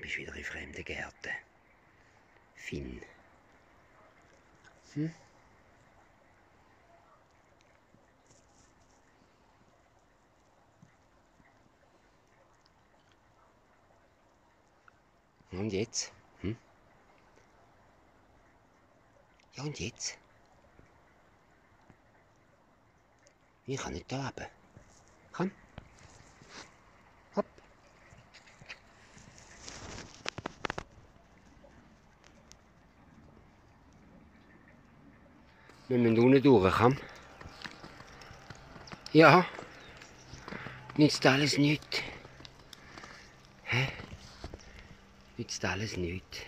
bist wieder in fremden Gärten. Finn. Hm? Und jetzt? Hm? Ja, und jetzt? Ich kann nicht da Komm. Hopp. Wir müssen unten durch, Ja. Nützt alles nicht. Hä? Nützt alles nicht.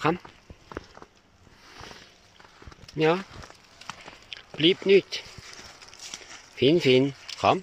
Komm. Ja. Blieb nicht. Fin, fin. Komm.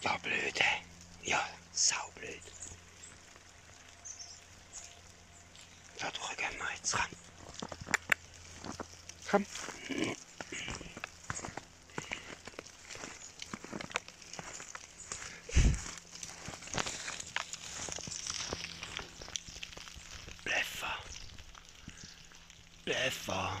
Ja, blöde. Ja, saublöd. Da drücken wir jetzt ran. Komm. Bleffer. Bleffer.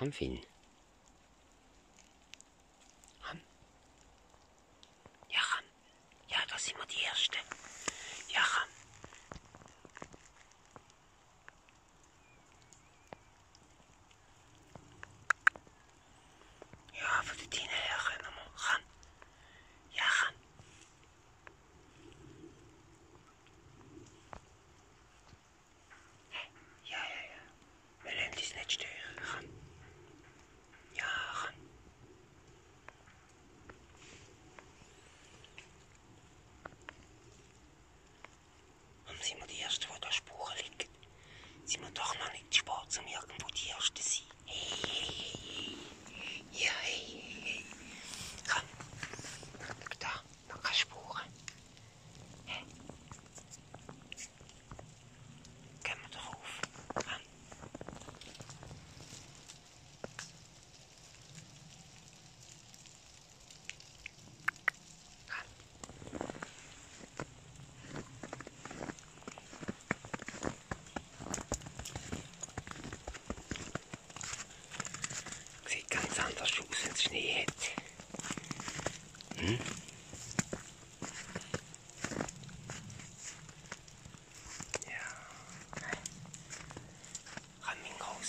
Haben wir ihn? Ran. Ja, ran. Genau. Ja, da sind wir die Erste. Ja, ran. Ja, voor de tiener. Ja, gaan allemaal. Ja, gaan. Ja, ja, ja. Mijn is net Ja, gaan. Und sind wir die Ersten, die der Spuren liegen? Sind wir doch noch nicht spät, um irgendwo die Ersten zu sein? Hey, hey, hey, hey. Ja, hey, hey, hey. Komm. Schau da, noch keine Spuren. Hä? Hey. Gehen wir doch auf. Komm. Sieht ganz anders aus, wenn es Schnee hat. Hm? Ja. Kann man raus.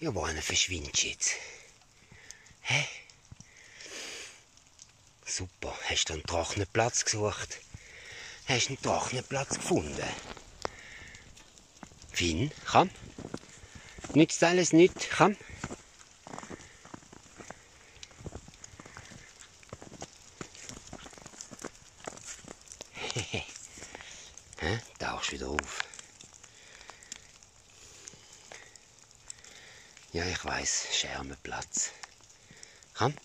Ja, wann verschwindest du jetzt? Hä? Super, hast du einen trockenen Platz gesucht? Hast du einen trockenen Platz gefunden? Finn, komm. Nützt alles nicht, komm. Tauchst wieder auf. Ja, ich weiß, Schermenplatz. Komm.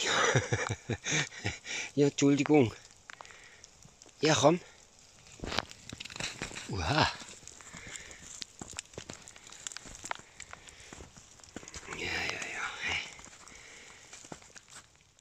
Ja, ja Entschuldigung. Ja, komm. Uha. Ja, ja, ja. Hey.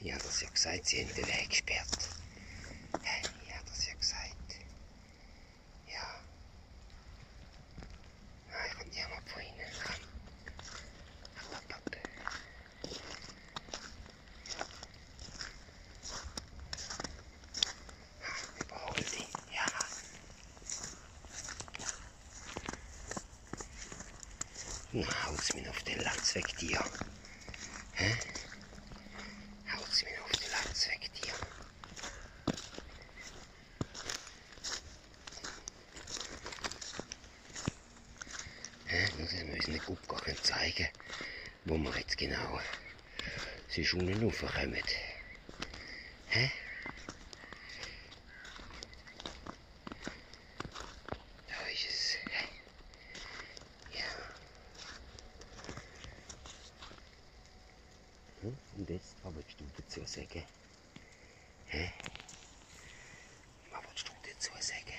Ich habe das ja gesagt, sie haben den Weg gesperrt. Ich habe das ja gesagt. Ja. Nein, ah, ich kann niemand von ihnen. Kann. Überhole hm, sie, ja. Na, haut's mir auf den Latz weg, dir. Hä? Haut's mir auf den Latz weg, dir. Hä? Muss ich mir eine Gruppe gar nicht zeigen wo wir jetzt genau sie schon raufkommen. Hä? Da ist es. Hä? Ja. Hm? Und jetzt, was willst du dazu sagen? Hä? Was willst du dazu sagen?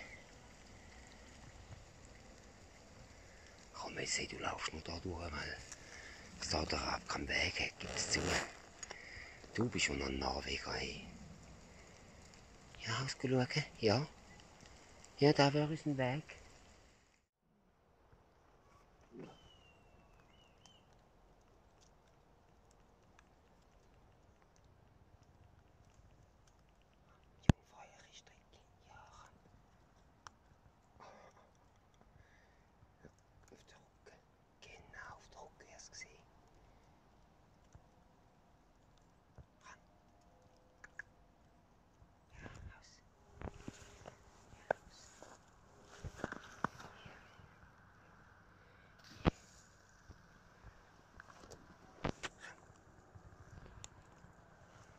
Komm jetzt, hey, du laufst nur da durch, weil es da der Rab keinen Weg hat und zu. Du bist schon ein Norweger, hey. Ja, ausgeschaut, ja. Ja, da wäre uns ein Weg jungfräulich trinkt in Jahren. auf der Rücke. Genau auf der Rücke erst gesehen. Ran. Ja, raus. Ja, raus. Ran.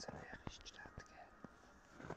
So eine Richtstadt, gell?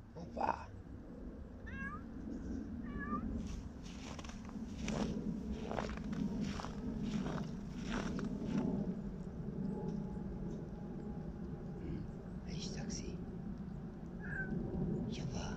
und wahr. Hm, ich sag sie. Ja, wahr.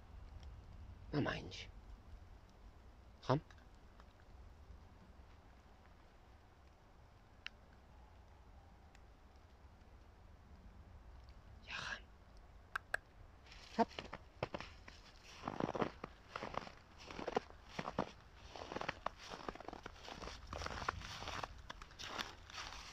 No manches. Komm. Ja, komm. Hopp.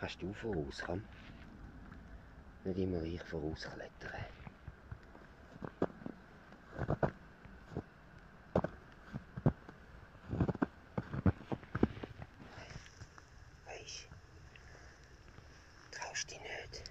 Kannst du voraus, komm. Nicht immer ich vorausklettern. Weisst, traust dich nicht.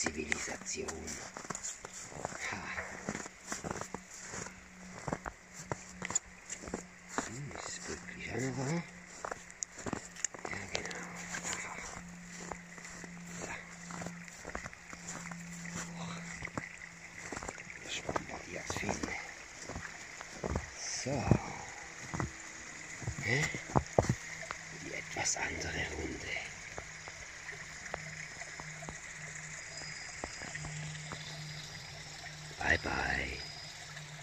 Zivilisation. Ha. Hm, das ist wirklich einer war. Ja, genau. So. Och. Spannend, die das finden. So. Hä? Die etwas andere Runde. Bye bye.